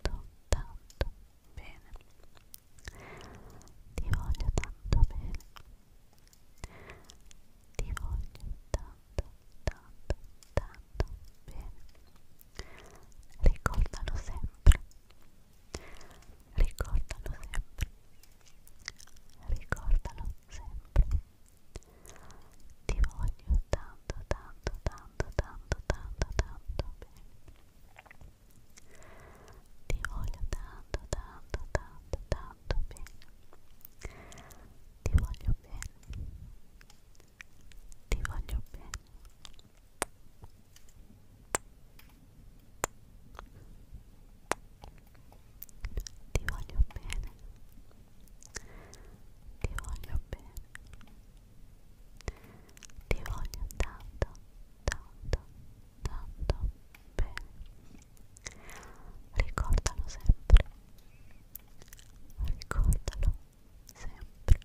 tanto, tanto bene. Ti voglio tanto bene. Ti voglio tanto, tanto, tanto bene. Ricordalo sempre. Ricordalo sempre. Ricordalo sempre. Ti voglio tanto, tanto, tanto tanto tanto tanto tanto bene ti voglio tanto tanto tanto tanto bene ti voglio bene ti voglio bene ti voglio bene ti voglio bene. Ti voglio tanto, tanto, tanto bene. Ricordalo sempre. Ricordalo sempre.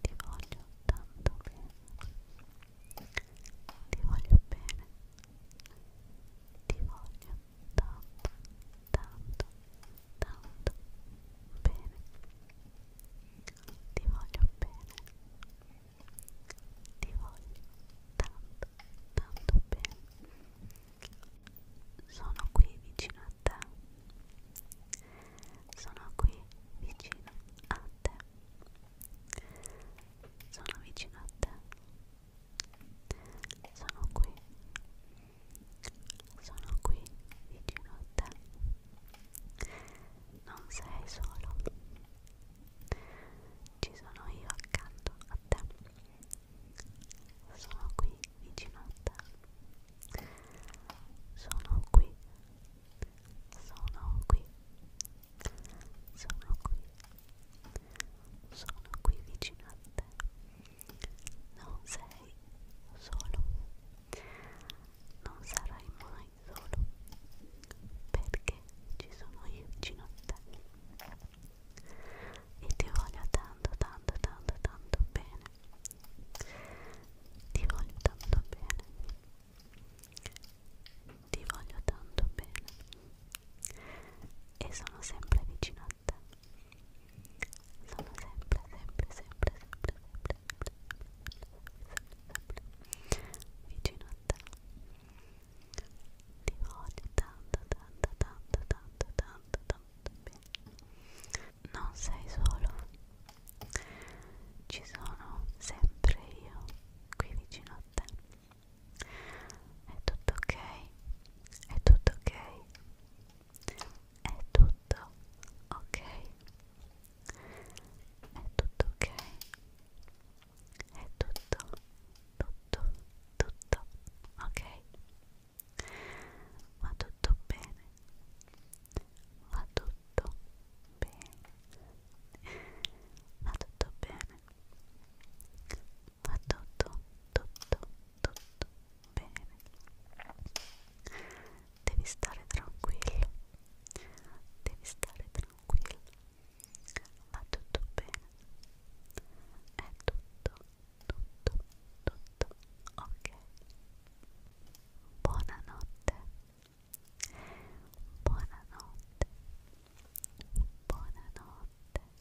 Ti voglio tanto bene. Ti voglio bene. Ti voglio tanto, tanto, tanto bene. Ti voglio bene. Ti voglio tanto, tanto bene. Sono qui vicino a te. Sono qui vicino a te. Sono vicino a te sono qui sono qui vicino a te non sei solo ci sono io accanto a te sono qui vicino a te sono qui sono qui sono qui sono qui vicino a te niente non sei solo non sarai mai solo perché ci sono io vicino a te e ti voglio tanto tanto tanto tanto bene ti voglio tanto bene ti voglio tanto bene e sono sempre vicino a fatta sono sempre sempre sempre sempre sempre sempre sempre sempre vicino a te ti voglio tanto tanto tanto tanto tanto tanto bene non sei solo ci sono sempre io qui vicino a te è tutto ok? È tutto ok? È tutto ok? È tutto ok? È tutto, tutto, tutto ok? Va tutto bene? Va tutto bene? Va tutto bene? va tutto, tutto, tutto bene. Devi stare tranquillo, devi stare tranquillo, va tutto bene. È tutto, tutto, tutto ok. Buonanotte, buonanotte, buonanotte.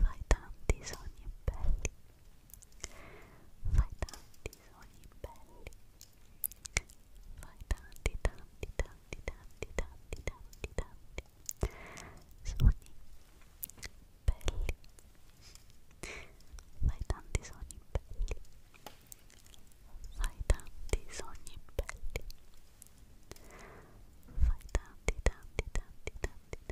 fai tanti sogni belli fai tanti sogni belli fai tanti tanti tanti tanti tanti tanti tanti sogni belli fai tanti sogni belli fai tanti sogni belli fai tanti tanti tanti tanti tanti